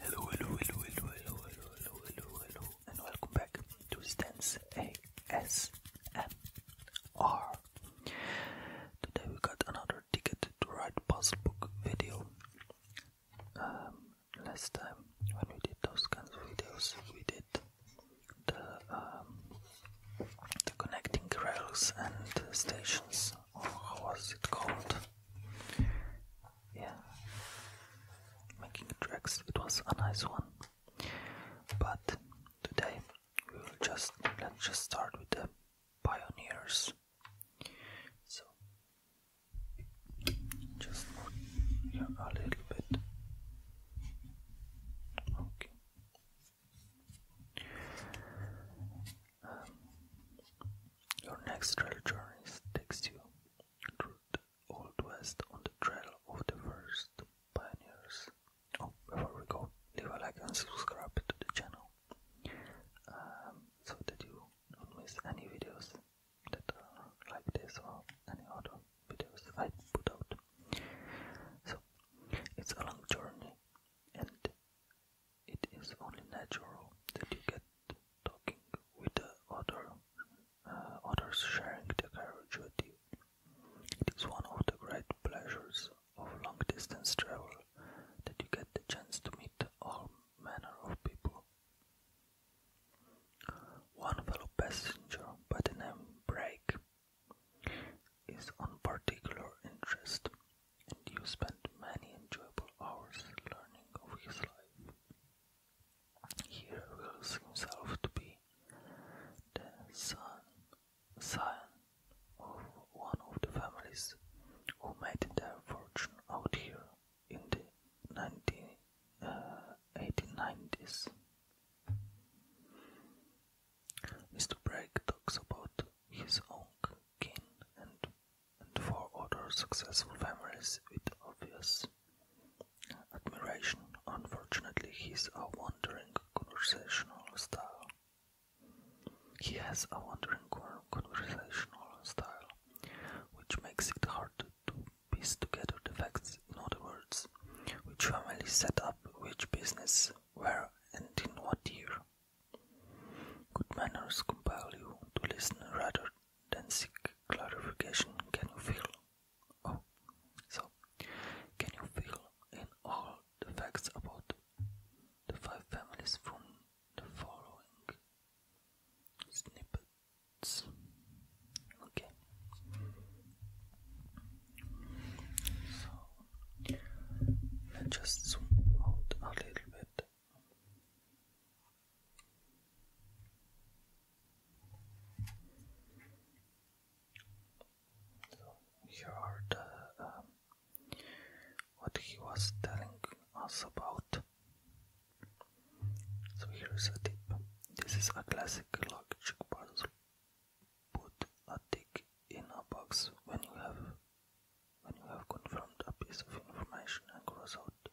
Hello, hello, hello, hello, hello, hello, hello, hello, and welcome back to Stans ASMR. Today we got another ticket to write puzzle book video. Um, last time when we did those kinds of videos, we did the um, the connecting rails and stations, or how was it called? yeah, making tracks. It was a nice one, but today we will just let's just start with the pioneers. So just a little bit. Okay. Um, your next trail journey takes you through the Old West on the trail of the first pioneers. Oh, before we go, leave a like and subscribe to the channel um, so that you don't miss any videos that are like this or any other videos I put out. So, it's a long journey and it is only natural that you get talking with the other, uh, others sharing the carriage with you. It is one of the great pleasures of long distance travel that you get the chance to meet all manner of people. One fellow passenger by the name Break, is on particular interest, and you spend many enjoyable hours learning of his life. He reveals himself to be the son, son of one of the families who made their fortune out here in the 19, 1890s. Uh, Mr. Bragg talks about his own kin and, and four other successful families with obvious admiration. Unfortunately, he's a wandering conversational style. He has a wandering conversational style, which makes it hard to piece together the facts. In other words, which family set up which business, where, and in what year. Good manners compel you to listen rather then seek clarification. Can you feel? Oh, so can you feel in all the facts about the five families from the following snippets? Okay. So let's just zoom out a little bit so here are the um, what he was telling us about. So here is a tip. This is a classic luggage parcel. Put a tick in a box when you have when you have confirmed a piece of information and cross out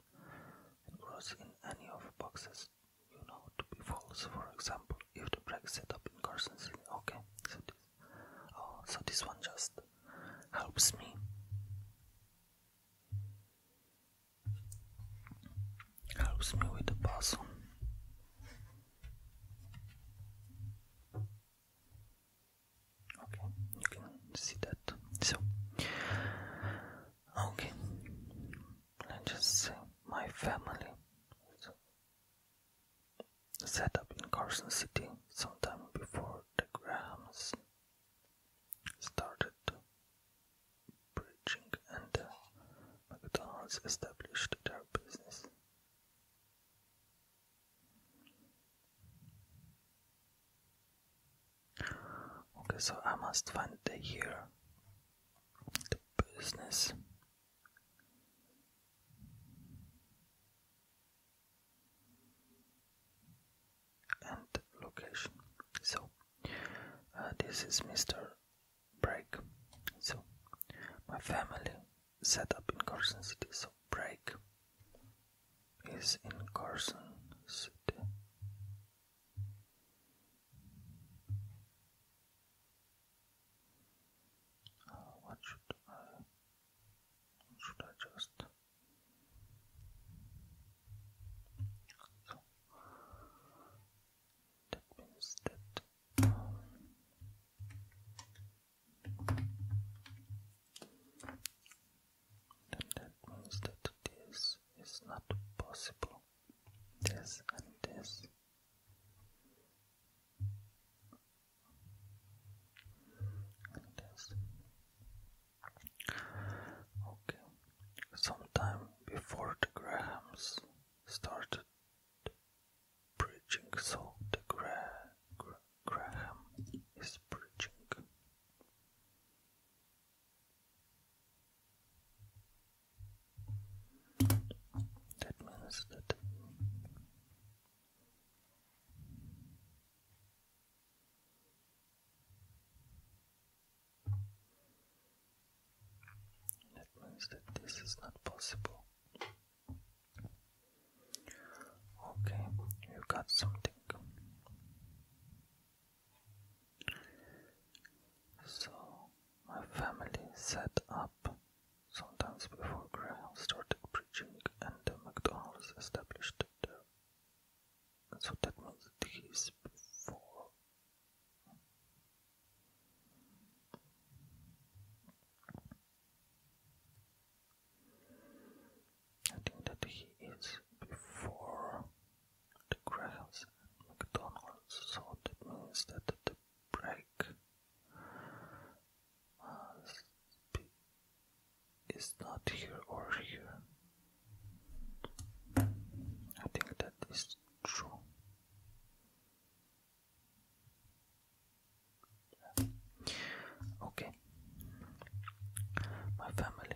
and cross in any of the boxes you know to be false, for example, if the break setup incursions okay, so this oh so this one just helps me. Helps me with the puzzle. Okay, you can see that. So, okay, let's just say my family set up in Carson City sometime before the Grahams started preaching and the McDonald's established their business. Okay, so I must find the year, the business. And location. So uh, this is Mr. Break. So my family set up in Carson City. So Break is in Carson City. Uh, what should I? should I just? that means um, then that means that this is not possible. This and this. And this. Okay. Sometime before the Grahams started preaching, so the Graham is preaching administered that means that this is not possible okay you got something so my family set up sometimes before Graham started preaching and the McDonald's established So that means it is before. I think that he is before the Grahams and McDonald's, so that means that the break must be, is not here or here. I think that is true. Okay, my family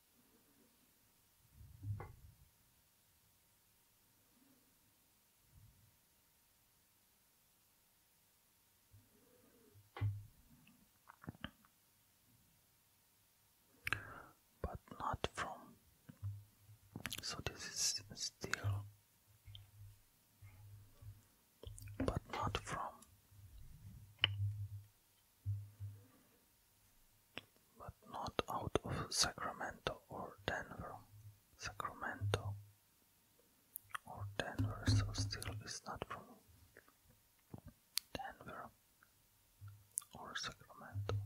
but not from so this is still but not from but not out of Sacramento or Denver. Sacramento or Denver, so still is not from Denver or Sacramento.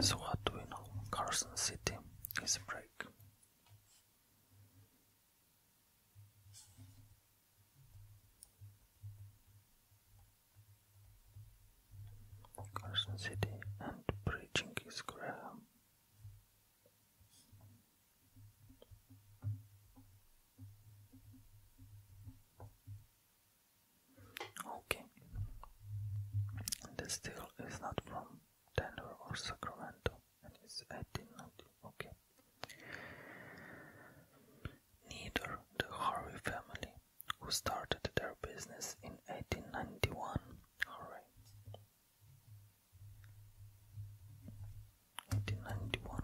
so what do we know? Carson City is a break. Carson City and preaching is Graham. Okay, the steel is not from Denver or Sacramento. That is, I did Okay. Neither the Harvey family, who started their business in 1891, hooray, 1891,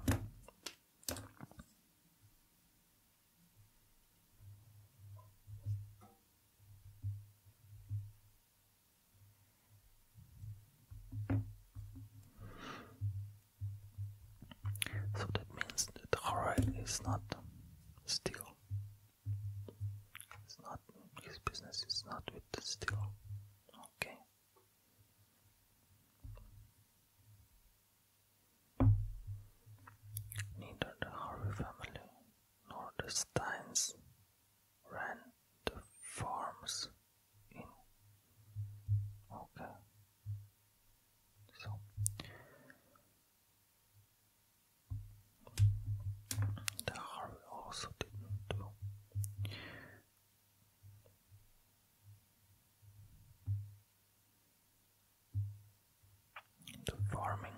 so that means that Harald is not still. It's not his business is not with the steel. Okay. Neither the Harvey family nor the Steins ran the farms okay the Harvey also didn't do the farming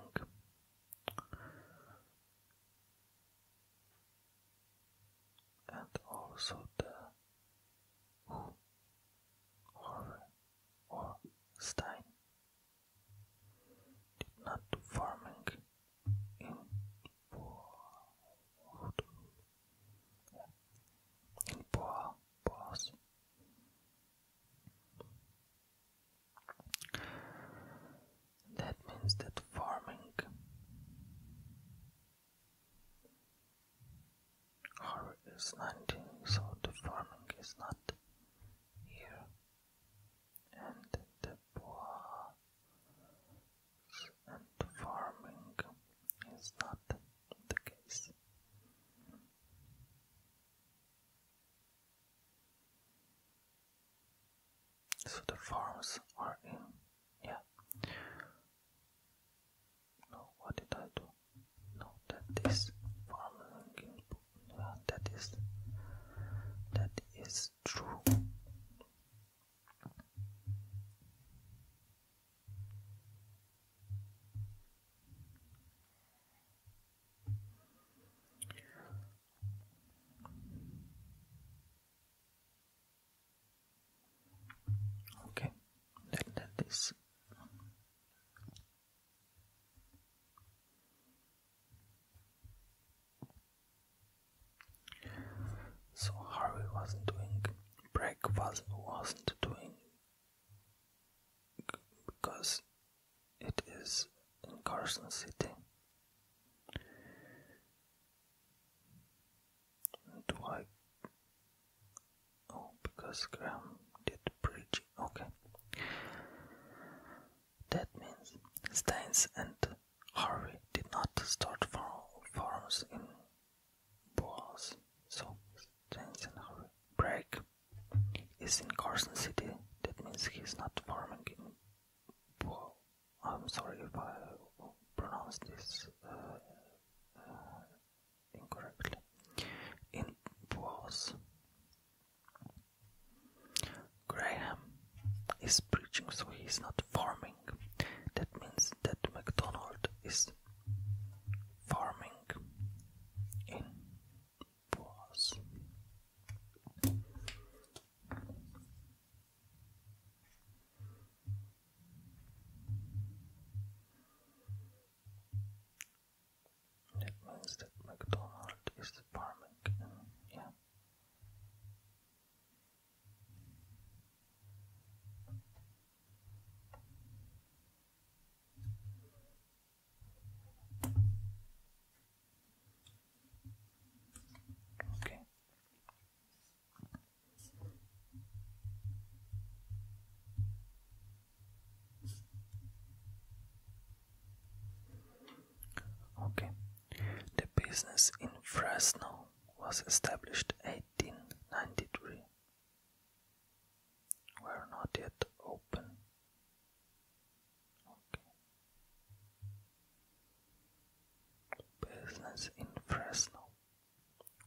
and also the Horre or Stein did not farming in Poa in Poa Poas. That means that farming Harvard is 19, so the farming is not here. And the bois and farming is not the case. So the farms are in, yeah. No, what did I do? No, that is following. Yeah, that is that is true. Okay, let that this. So Harvey wasn't doing breakfast wasn't doing because it is in Carson City. Do I? Oh, because Graham did bridge. Okay. That means Staines and Harvey did not start farms in Boas. So Staines and Harvey. Break is in Carson City. That means he's not farming in Boas. I'm sorry if I pronounce this uh, uh, incorrectly in Boaz. Graham is preaching, so he is not farming. That means that MacDonald is farming in Boaz. That means that McDonald is the barman, yeah. Okay. Okay, the business in Fresno was established 1893. Were not yet open. Okay. Business in Fresno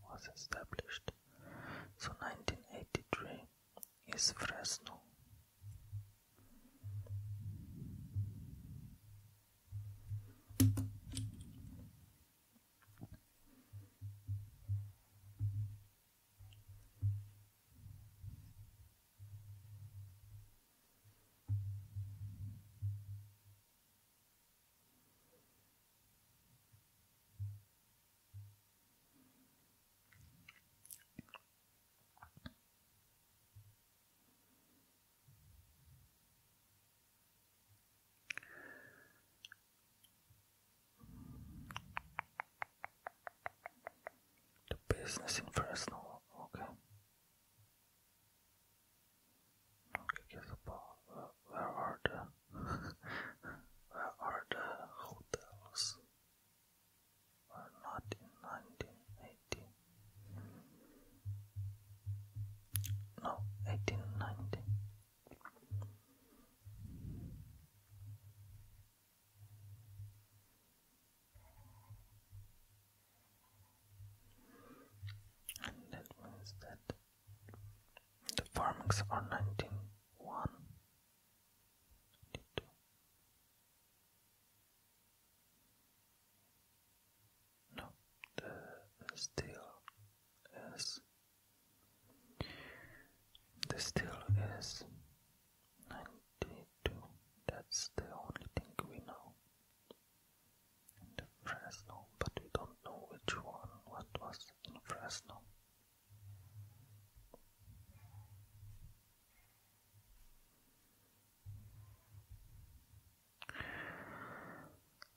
was established. So 1983 is Fresno. The business in Fresno, okay where, are the where are the hotels? Were not in 1980. No, 1890. And that means that the farmings are nineteen one. No, the steel is the steel is ninety two. That's the only thing we know. And the Fresno, but we don't know which one. What was Fresno.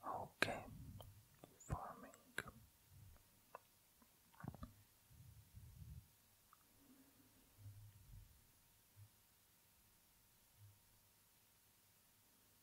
Okay, farming.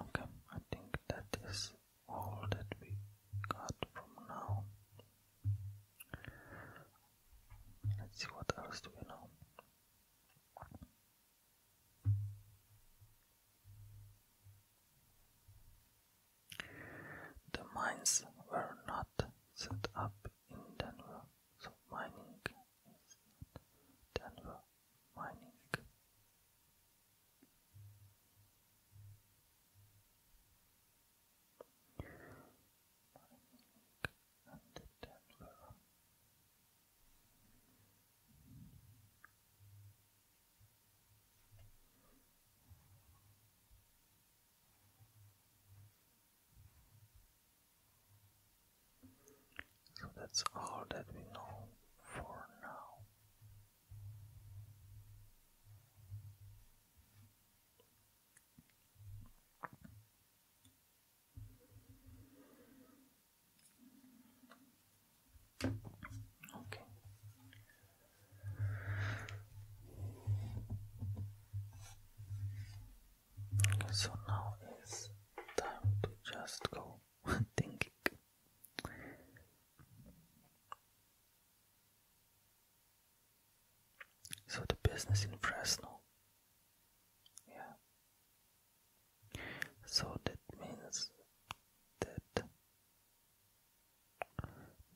Okay, I think that is all that we got from now. Let's see what else do we know. The mines were not set up in Denver, so mining is not Denver mining. So that's all that we know for now. Okay. so now is time to just go thinking. So the business in Fresno yeah. So that means that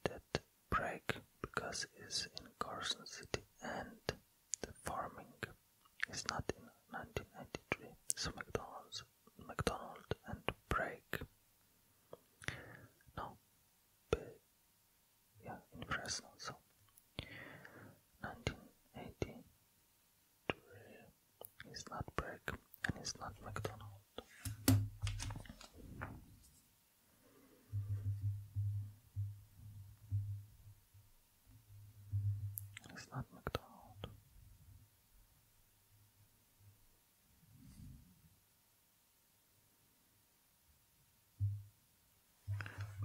that break because it's in Carson City and the farming is not in 1993. So McDonald's, McDonald and break. No, yeah, in France also. 1983 is not break and it's not McDonald's. It's not McDonald's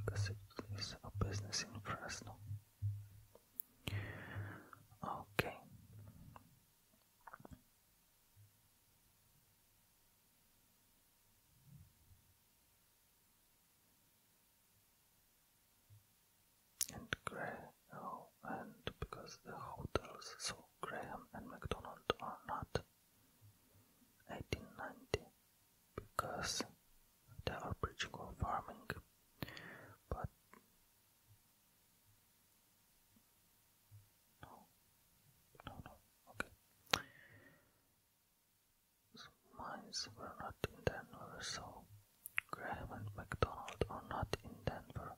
because it is a business in Fresno. Okay. And Graham, oh, and because the hotels, so Graham and McDonald are not. 1890 because they are preaching on farming, but no, no, no, okay. So mines were not in Denver, so Graham and McDonald are not in Denver.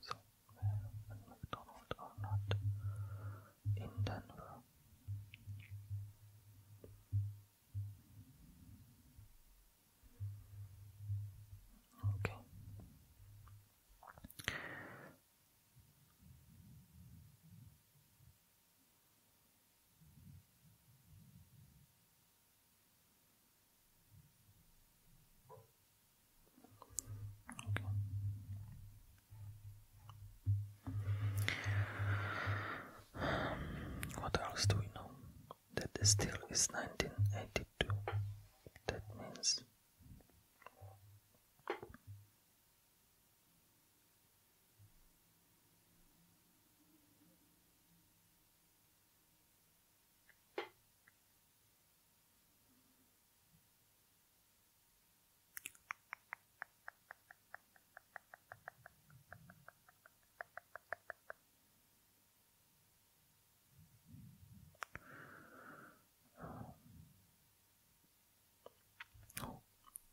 So Graham and McDonald are not in Denver. Okay. Okay. What else do we know? That the steel is 1982. That means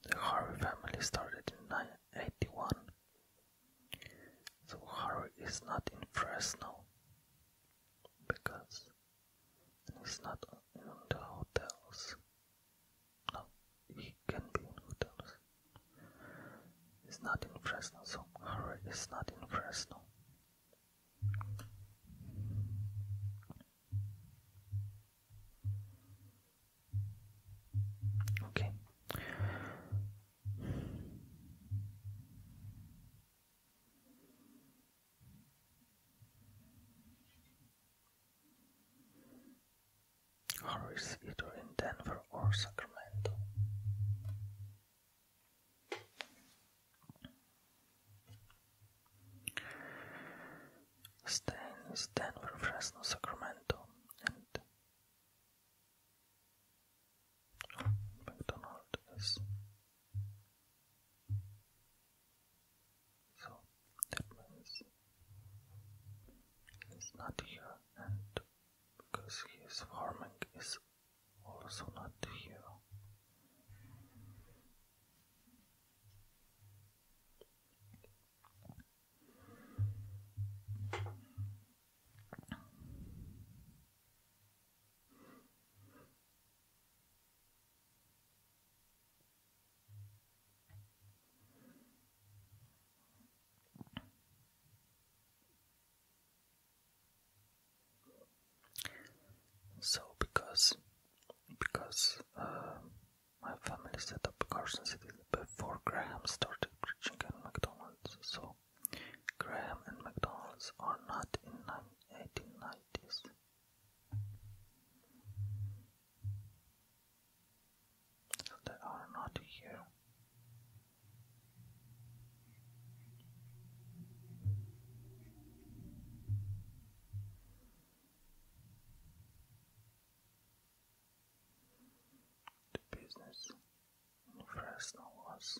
the Harvey family started in 1981, so Harvey is not in now because he's not in the hotels. No, he can be in hotels. It's not in Fresno, so hurry, it's not in Fresno. Okay. Harris either in Denver or Sacramento. Stain is Denver, Fresno, Sacramento, and McDonald is so that means he's not here, and because he is farming, is also not here. So because because uh, my family set up Carson City before Graham started preaching at McDonald's, so Graham and McDonald's are not in 1890s. They are not here. The business in Fresno was.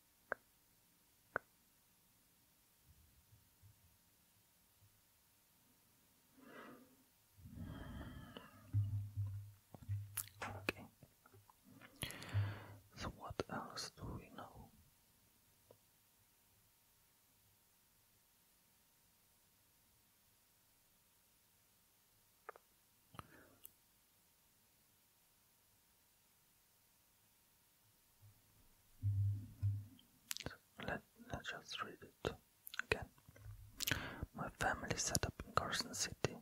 Okay. So what else do we know? Let, us just read it again. My family set up in Carson City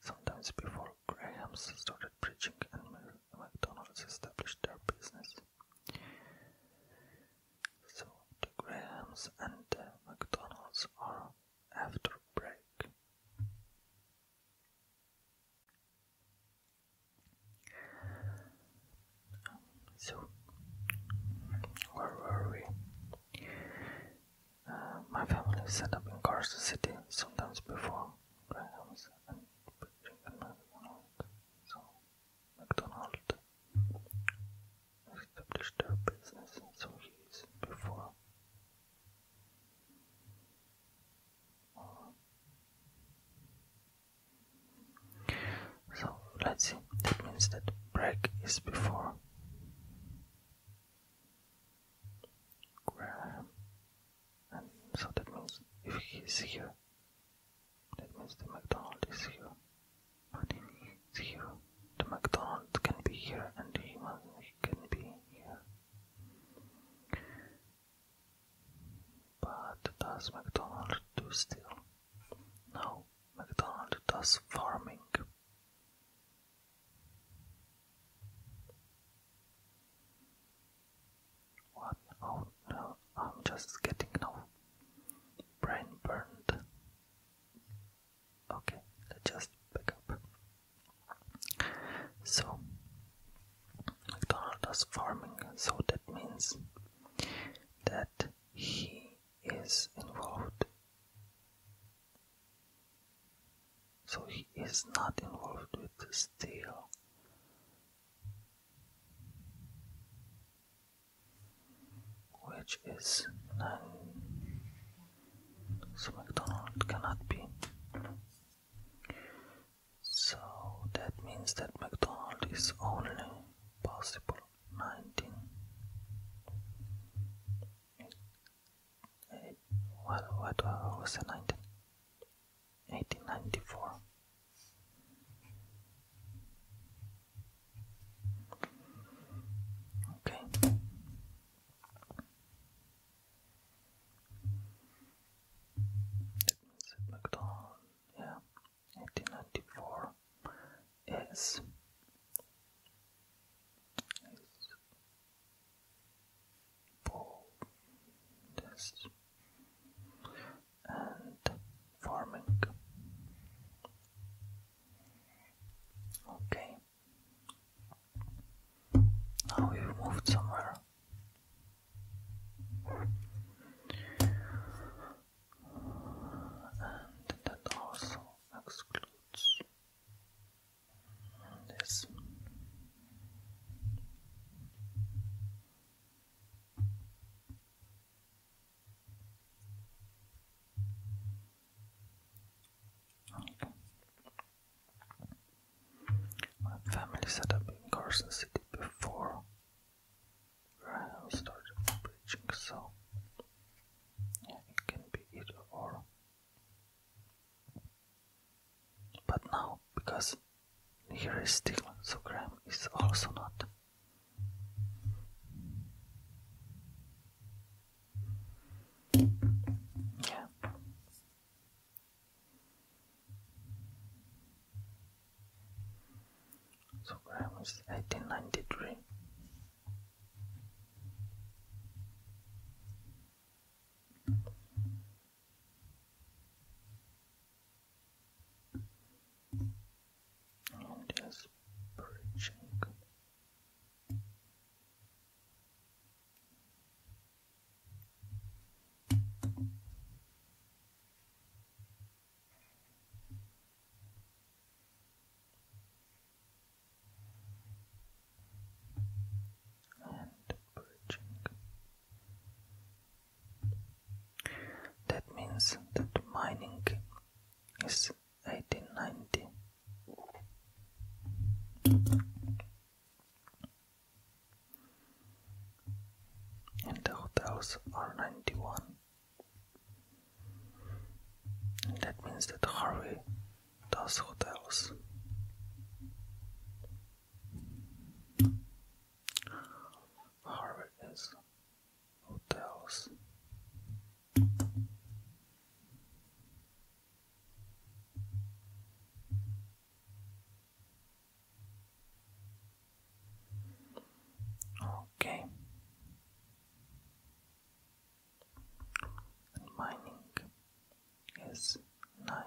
sometimes before Grahams started preaching and McDonald's established their business. So the Grahams and McDonald's are after break. So, where were we? Uh, my family set up in Carson City sometimes before So, McDonald established their business, so he's before. So let's see, that means that break is before Graham, and so that means if he here, that means the McDonald is here. But if he here, the McDonald can be here and the can be here. But does McDonald do still? No, McDonald does farming. What? Oh I'm just getting no brain burned. Okay, just back up. So MacDonald is farming, so that means that he is involved. So he is not involved with the steal. Which is nine. So McDonald cannot be so that means that McDonald is only possible 19. Uh, what, was the 19? Okay. It means it looked on, yeah, 1894 is, is boldest and farming. Okay, now oh, we've moved somewhere. And that also excludes this. My family set up in Carson City before Graham started preaching, so yeah, it can be either or. But now, because here is Stigma, so Graham is also not. Yeah. So gram is eighteen ninety three. And just preaching and bridging. That means that mining is 1890 and those are 91 that means that Harvey does hotels Harvey is hotels Okay. And mining is ninety.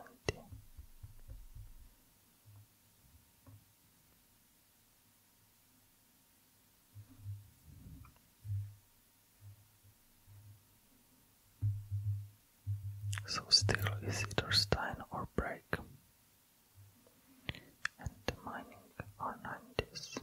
So still, is either stein or break. And the mining are nineties.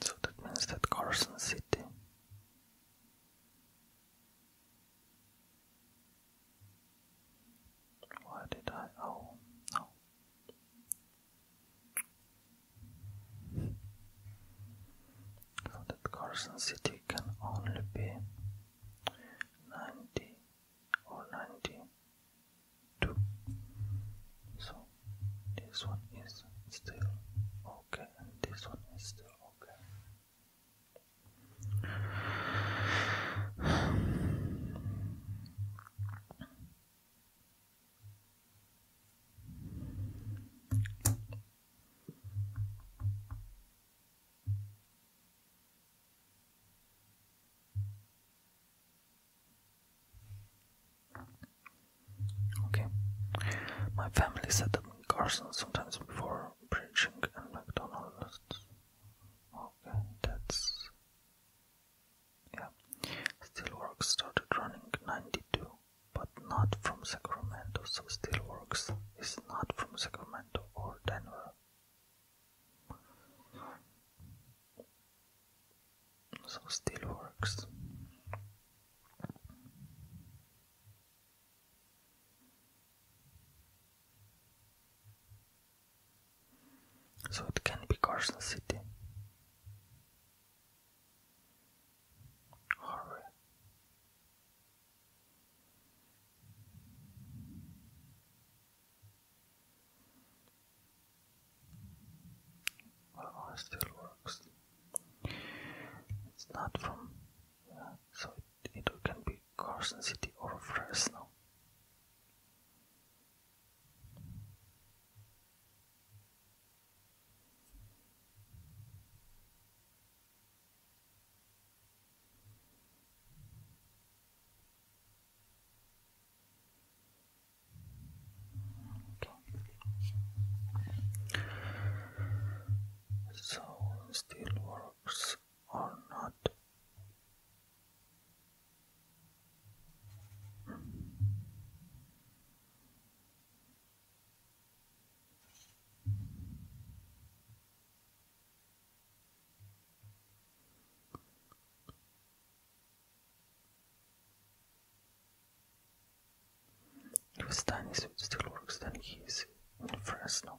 So that means that Carson City why did I? Oh no, so that Carson City can only be 90 or 92. So this one is still okay, this one is still okay. Okay. My family set up in Carson sometimes before preaching and McDonald's. Okay, that's yeah, Steelworks started running 92, but not from Sacramento, so Steelworks is not from Sacramento or Denver. So Steelworks. So it can be Carson City horror. Well, it still works. It's not from, so it, it can be Carson City or Fresno. So still works or not? Louis Stanis still works, then he is in Fresno.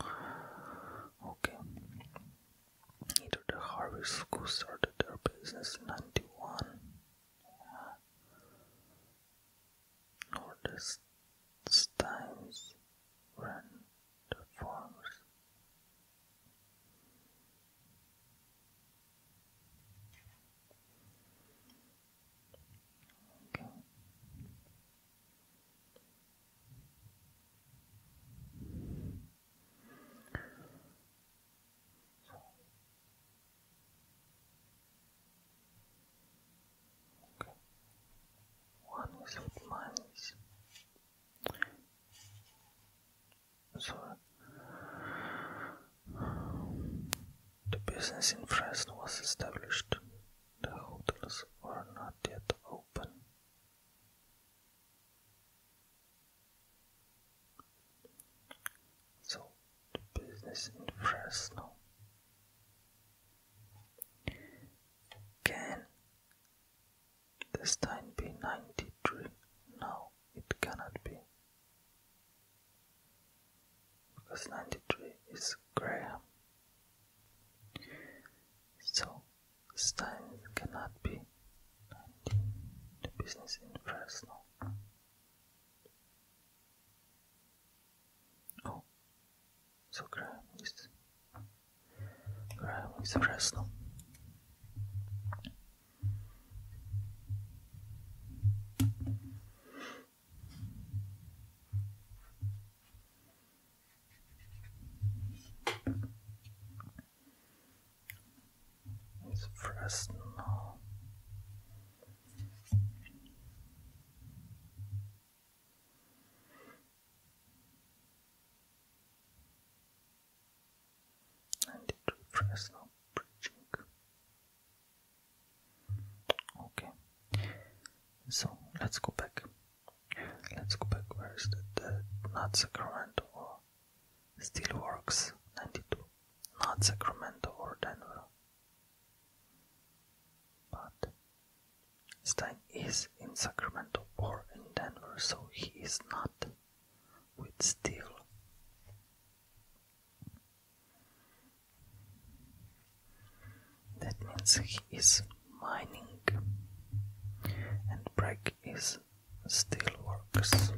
Okay. Either the Harvey School started their business in 91 Notice times when the forms okay. Okay. One the business in Dresden was established. The hotels were not yet open. So, the business in Fresno can this be 93? No, it cannot be because 93 is Graham. So, Stein cannot be the business in Fresno. Oh, so Graham is Graham is Fresno. It's Fresno. Ninety two Fresno preaching. Okay. So let's go back. Let's go back. Where is that? not Sacramento or Steelworks ninety two. Not Sacramento or Denver. But Stein is in Sacramento or in Denver, so he is not with Steel. That means he is mining and Breck is steelworks.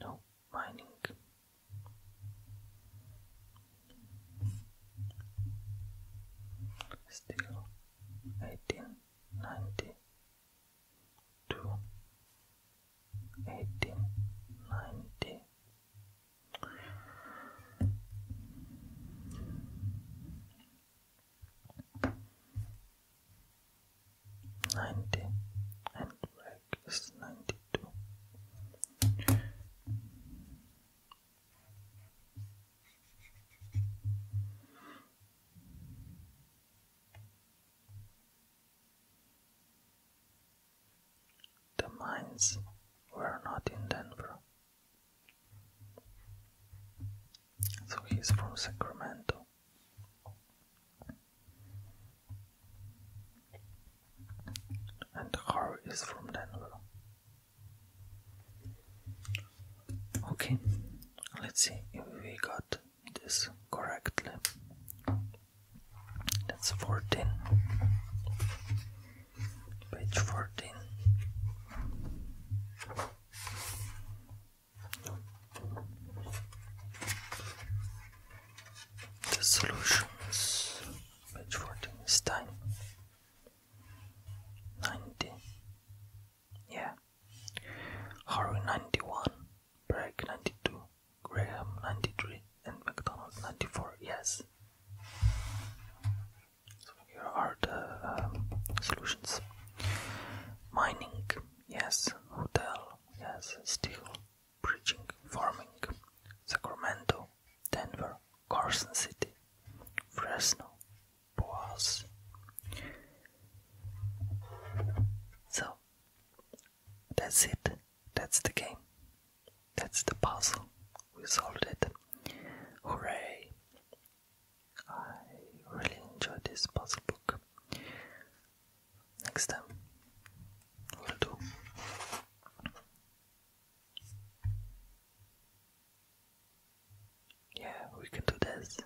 No mining. Still eighteen ninety two eighteen ninety ninety and break is ninety two the mines were not in Denver. So he's from Sacramento. And Harry is from Denver. Okay, let's see if we got this correctly. That's 14. Page 14. The solutions, page 14 is time. 90. Yeah. Harvey 91, break 92, Graham 93 and McDonald 94. Yes. So here are the um, solutions. Mining, yes. Hotel, yes. Steel, preaching, farming. Sacramento, Denver, Carson City, Fresno, Boise. So that's it. That's the game. That's the puzzle. We solved it. Hooray! I really enjoyed this puzzle book. Next time, we'll do. Yeah, we can do this.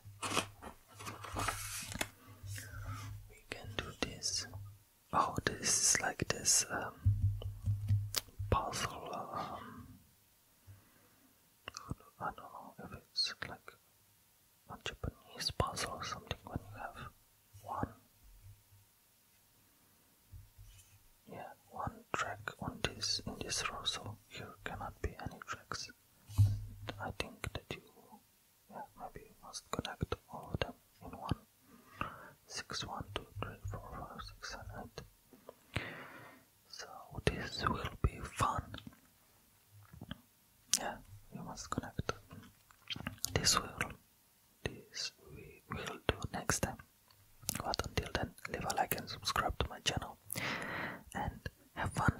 We can do this oh this is like this um, puzzle um, I don't know if it's like a Japanese puzzle or something when you have one yeah one track on this in this row so here cannot be any tracks I think that you yeah maybe you must connect all of them in one six one two three four five six seven eight. So this will be fun. Yeah, you must connect. This will this we will do next time. But until then, leave a like and subscribe to my channel and have fun.